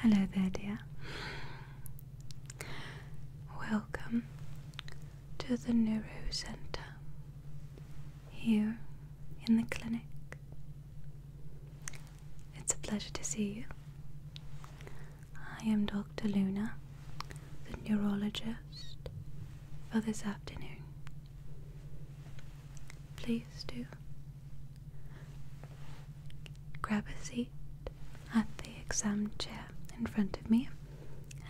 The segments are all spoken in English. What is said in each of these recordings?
Hello there, dear. Welcome to the Neuro Center here in the clinic. It's a pleasure to see you. I am Dr. Luna, the neurologist for this afternoon. Please do Grab a seat at the exam chair in front of me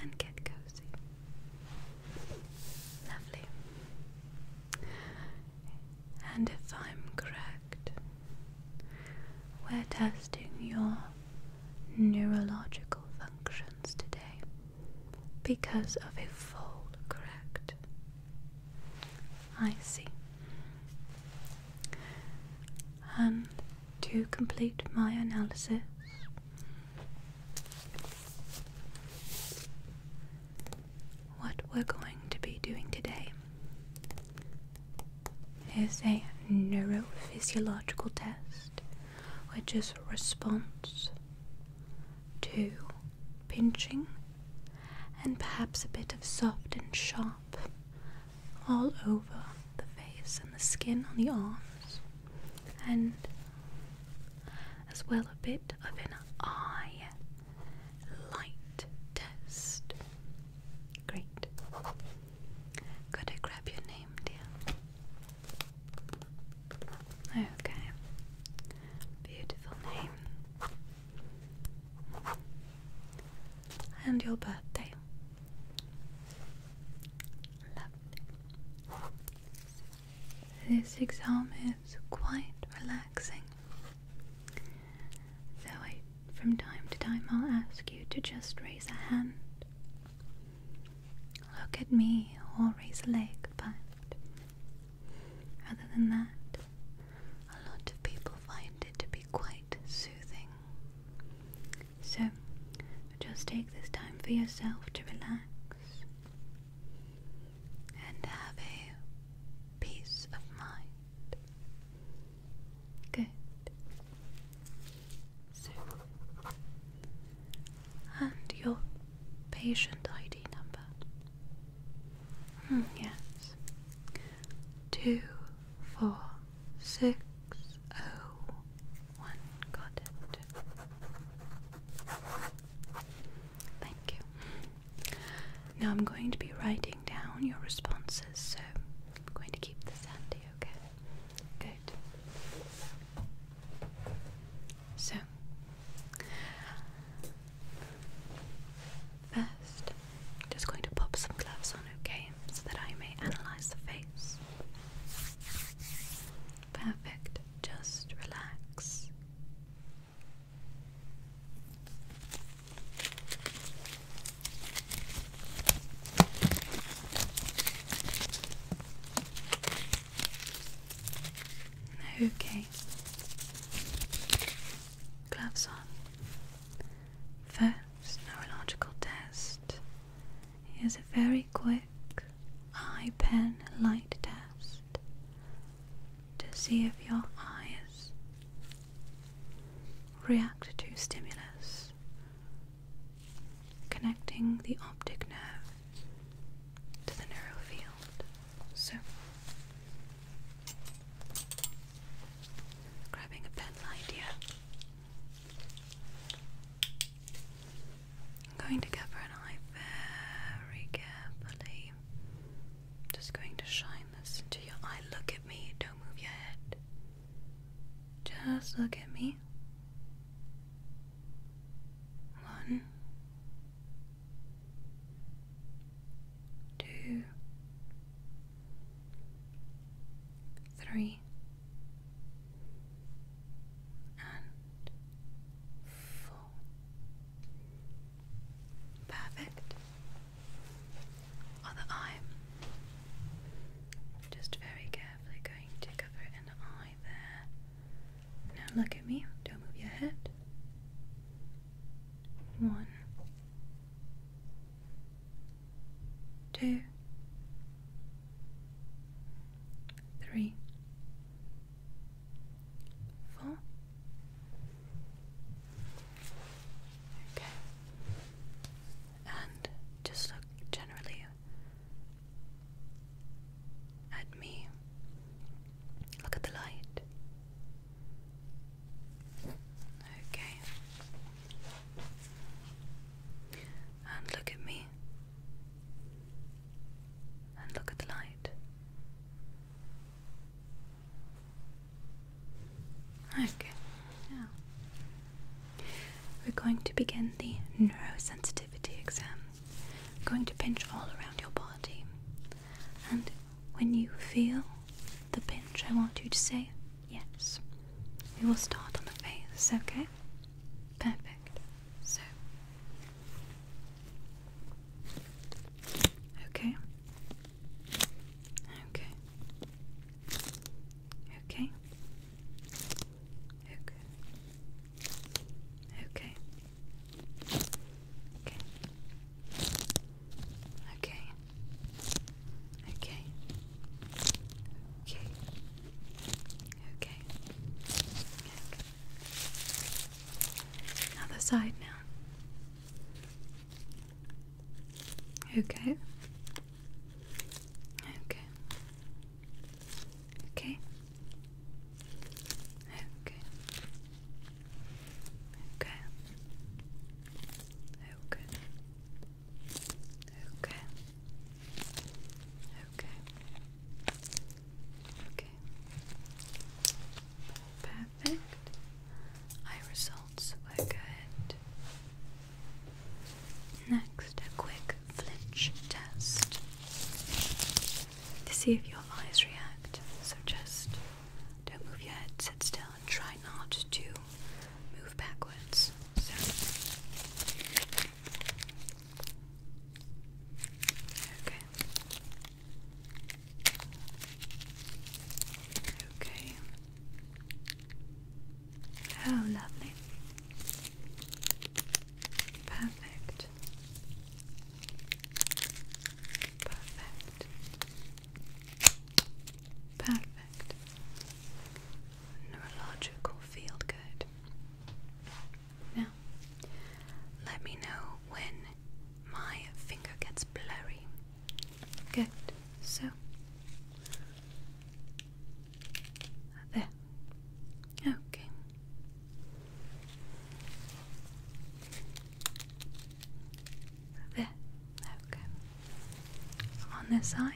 and get cozy. Lovely. And if I'm correct, we're testing your neurological functions today because of a fall, correct? I see. And um, to complete my analysis, what we're going to be doing today is a neurophysiological test, which is response to pinching, and perhaps a bit of soft and sharp all over the face and the skin on the arms, and as well a bit of an eye light test. Great. Could I grab your name, dear? Okay. Beautiful name and your birthday. Lovely. This exam is quite relaxing. So I from time to time I'll ask you to just raise a hand. Look at me or raise a leg, but other than that, a lot of people find it to be quite soothing. So, just take this time for yourself to relax and have a peace of mind. Good. So, and your patient ID number. Hmm, yes. Two, four, six, oh, one. Got it. Thank you. Now I'm going to be writing down your responses, so I'm going to keep this handy, okay? Good. So, First, I'm just going to pop some gloves on, okay, so that I may analyze the face. Perfect, just relax. Okay. Gloves on. First neurological test is a very quick eye pen light test to see if your eyes react to stimulus connecting the optic nerve to the narrow field. So, grabbing a pen light I'm going to cover an eye very carefully. just going to shine this into your eye. Look at me, don't move your head. Just look at me. One, two, three, and four. Perfect. Other eye. Just very carefully going to cover it eye there. Now look at me. Don't move your head. One, two, three, four. Okay. And just look generally at me. Look at the light. Okay. And look at me. And look at the light. Okay, now we're going to begin the neurosensitivity exam. I'm going to pinch all around your body. And when you feel the pinch, I want you to say yes. We will start on the face, okay? Perfect. So. Okay. Okay. Okay. Okay. Okay. Okay. Okay. Okay. Okay. Okay. Okay. Other side now. Okay. Okay. Okay. Okay. Okay. Okay. Okay. Okay. Okay. Perfect. Eye results were good. Next next a quick flinch test to see if your eyes react. So just don't move your head, sit still, and try not to move backwards. Okay. Okay. Oh, lovely. Perfect. Perfect. Perfect. Neurological field good. Now, let me know when my finger gets blurry. Good. So, there. Okay. There. Okay. On this eye.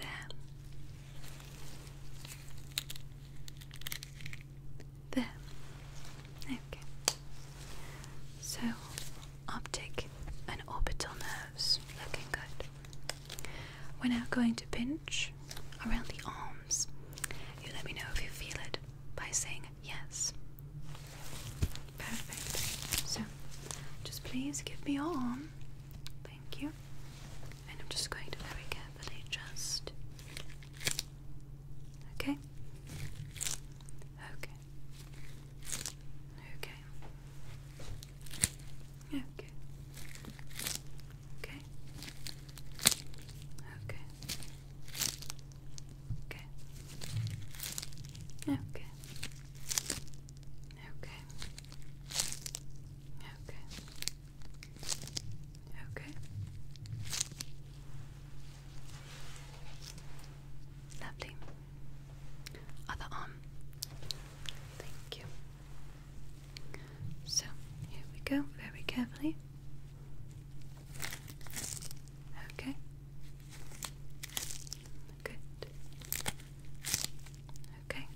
There. There. Okay. So, optic and orbital nerves looking good. We're now going to pinch around the arms. You let me know if you feel it by saying yes. Perfect. So, just please give me your arm. Thank you. And I'm just going to very carefully just. Okay? Okay. Okay. Okay. Okay. Okay. Okay. Okay. Okay. Okay. Okay. Lovely other arm. Thank you. So here we go, very carefully. Okay. Good. Okay.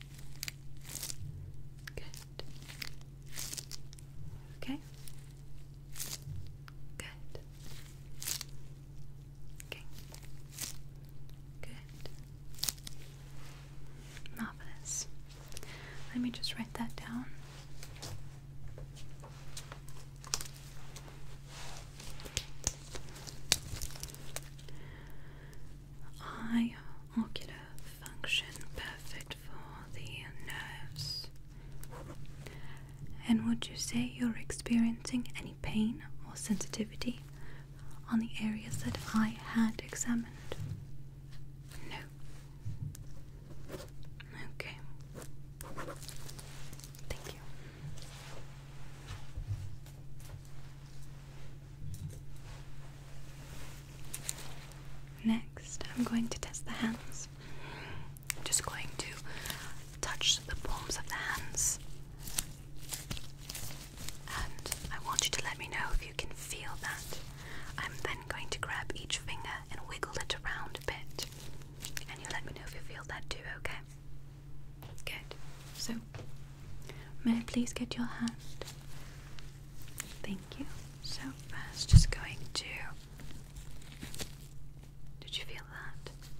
Good. Okay. Good. Okay. Good. Marvelous. Let me just write that down. Eye ocular function perfect for the nerves. And would you say you're experiencing any pain or sensitivity on the areas that I had examined? No. Okay. Thank you. Next, I'm going to test the hands. I'm just going to touch the palms of the hands and I want you to let me know if you can feel that. I'm then going to grab each finger and wiggle it around a bit, and you let me know if you feel that too, okay? Good. So, may I please get your hand? Thank you. So, first, just going to. Did you feel that?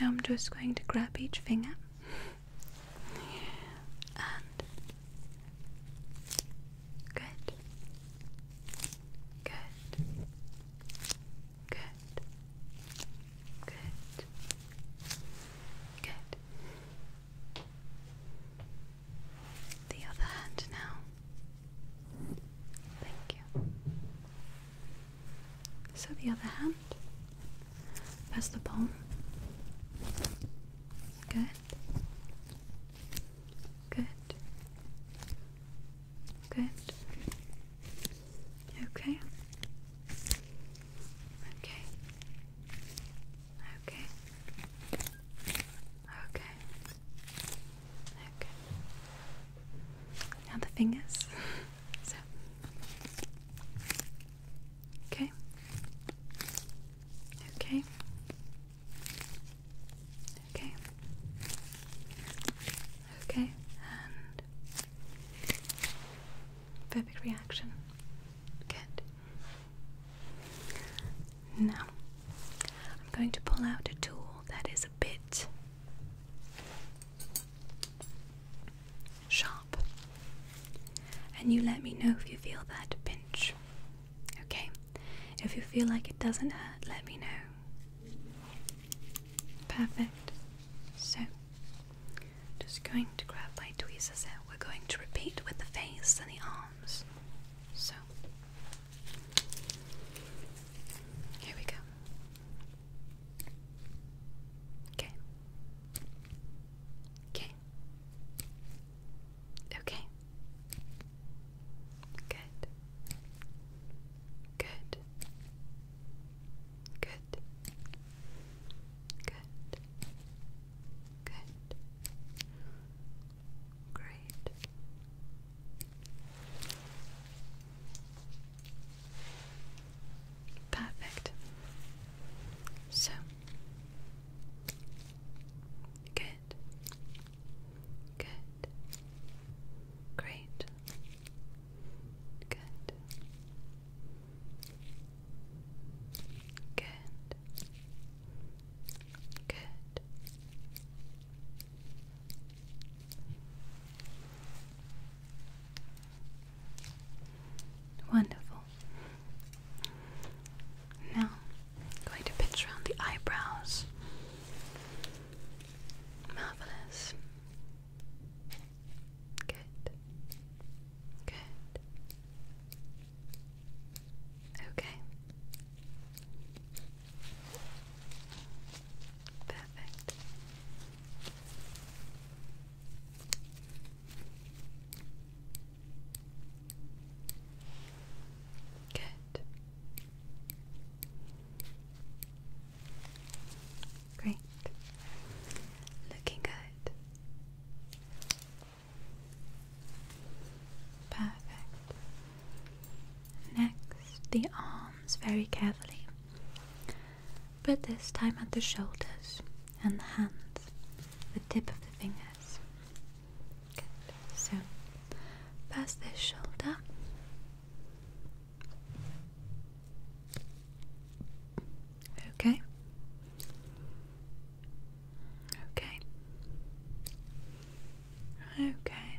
Now I'm just going to grab each finger good, good, good, good, good. The other hand now. Thank you. So the other hand, press the palm. Good. Good. Good. Okay. Okay. Okay. Okay. Okay. Now the fingers. So. Okay. Okay. Okay. Okay. And perfect reaction. Good. Now, I'm going to pull out a tool that is a bit sharp. And you let me know if you feel that pinch. Okay? If you feel like it doesn't hurt, let me know. Perfect. So, just going to grab my tweezers We're going to repeat with the face and the arms. So, here we go. Okay. Okay. Okay. Good. Good. Good. Good. Good. Great. Perfect. So good, good, great, good, good, good. Wonderful. Now, going to pinch around the eyebrows. Marvelous. Good. Good. Okay. Perfect. Good. Great. Looking good. Perfect. Next, the arms very carefully, but this time at the shoulders and the hands, the tip of the fingers. So, past this shoulder. Okay. Okay. Okay.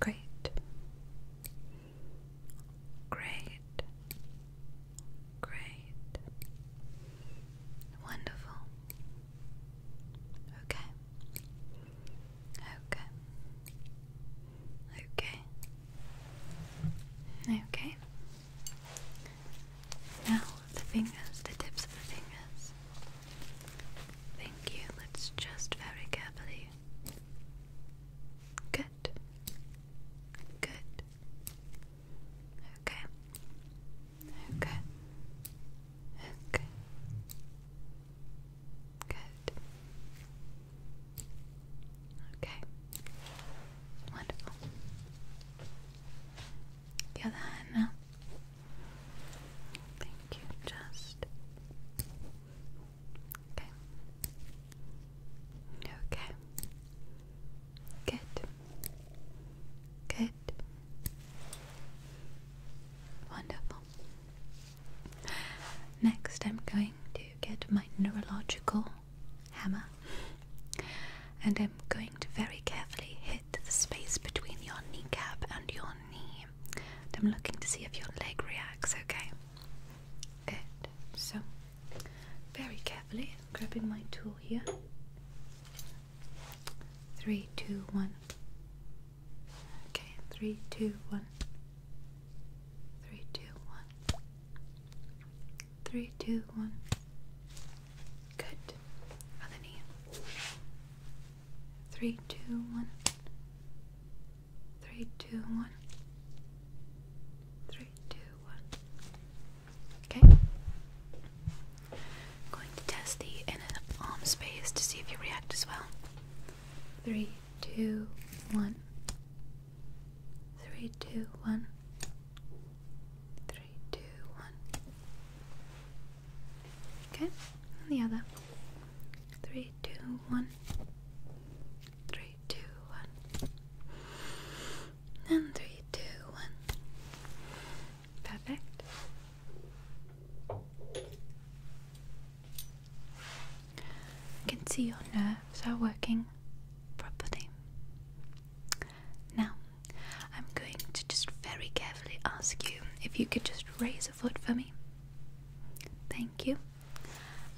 Great. Great. Great. Wonderful. Okay. Okay. Okay. Okay. Now the fingers, the tips of the fingers. Thank you. Let's just very carefully Good. Good. Okay. Okay. Okay. Good. Okay. Wonderful. The other hand now. Thank you, just okay. Okay. Good. Good. Wonderful. Next, I'm going to get my neurological hammer and I'm going to very carefully hit the space between your kneecap and your knee. I'm looking to see if your leg reacts, okay? Good. So, very carefully, I'm grabbing my tool here. Three, two, one. Okay, three, two, one. Three, two, one. Three, two, one. Good. Other knee. Three, two, one. Three, two, one. Three, two, one. Okay. I'm going to test the in and arm um space to see if you react as well. Three, two, one. Three, two, one. Three, two, one. Okay, and the other. Three, two, one. Three, two, one. And three, two, one. Perfect. I can see your nerves are working properly. Now, I'm going to just very carefully ask you if you could just raise Foot for me. Thank you.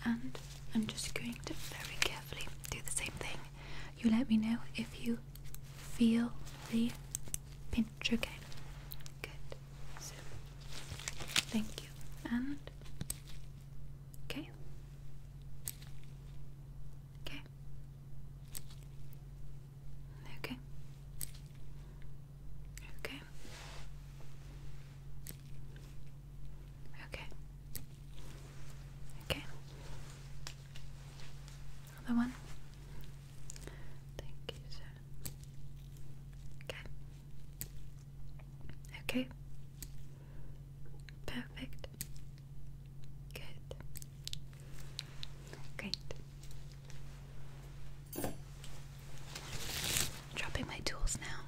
And I'm just going to very carefully do the same thing. You let me know if you feel the pinch, again. Good. So, thank you. And, okay. Okay. Okay. Okay. Okay. Okay. Another one. Thank you, sir. Okay. Okay. Perfect. Good. Great. Dropping my tools now.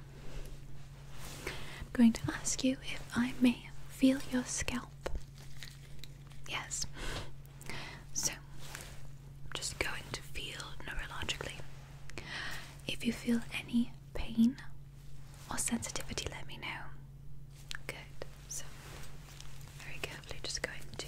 I'm going to ask you if I may feel your scalp. Yes. So, I'm just going to feel neurologically. If you feel any pain or sensitivity, let me know. Good. So, very carefully just going to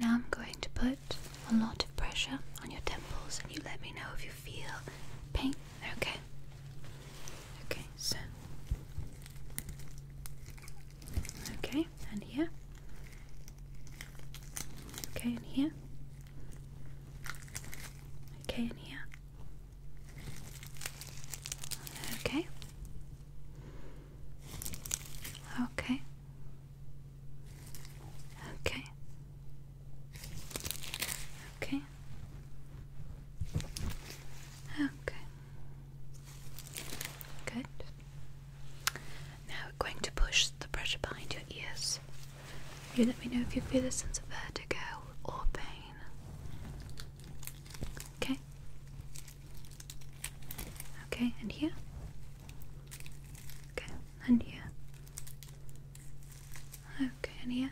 Now I'm going to put a lot of pressure on your temples and you let me know if you feel pain. Okay. Okay, so. Okay, and here. Okay, and here. Okay, and here. Okay. Okay. Okay. Okay. Okay. Good. Now we're going to push the pressure behind your ears. You let me know if you feel a sense of vertigo or pain. Okay. Okay, and here. Okay, and here. Okay, and here.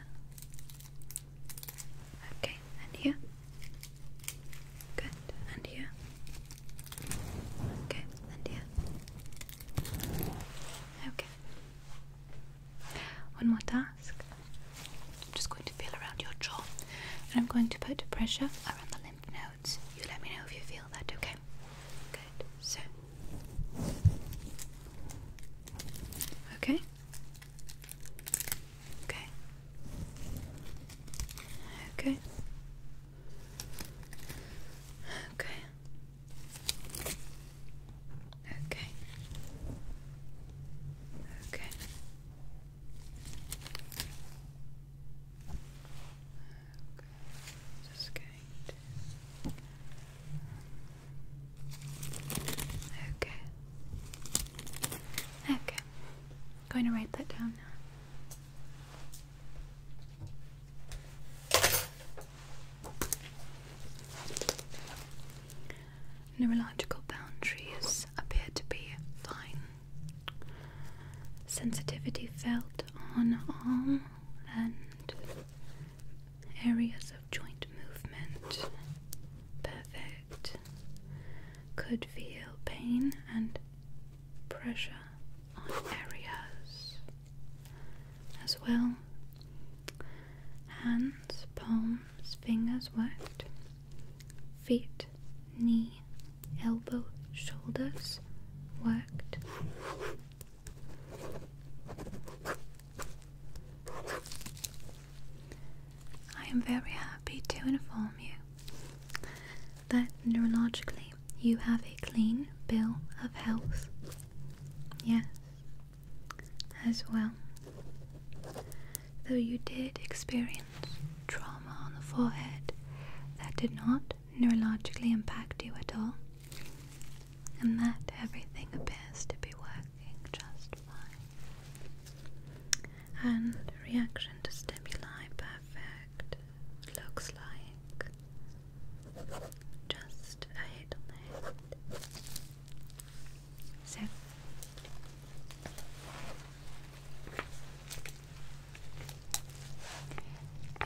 Okay, and here. Good, and here. Okay, and here. Okay. One more task. I'm just going to feel around your jaw and I'm going to put pressure around the lymph nodes. You let me know if you feel that, okay? Good. So. Okay. Okay. Okay. Okay. Okay. Okay. Okay. Just going to. Okay. Okay. I'm going to write that down now. Neurological boundaries appear to be fine. Sensitivity felt on arm and areas of joint movement. Perfect. Could feel pain and pressure on areas as well. Hands, palm, fingers worked. Feet, knee, elbow, shoulders worked. I am very happy to inform you that neurologically you have a clean bill of health. Yes, as well. Though you did experience trauma on the forehead that did not neurologically impact you at all, and that everything appears to be working just fine. And reaction to stimuli perfect looks like just a hit on head.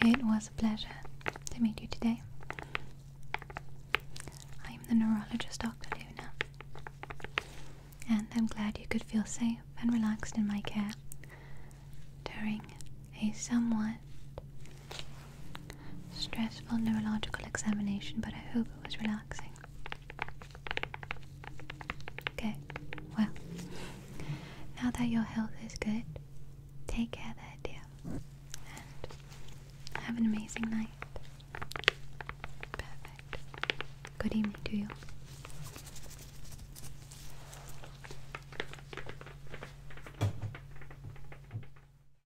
It was a pleasure to meet you today. I am the neurologist Dr. Luna, and I'm glad you could feel safe and relaxed in my care during a somewhat Stressful neurological examination, but I hope it was relaxing. Okay, well, now that your health is good, take care there, dear. And have an amazing night. Perfect. Good evening to you.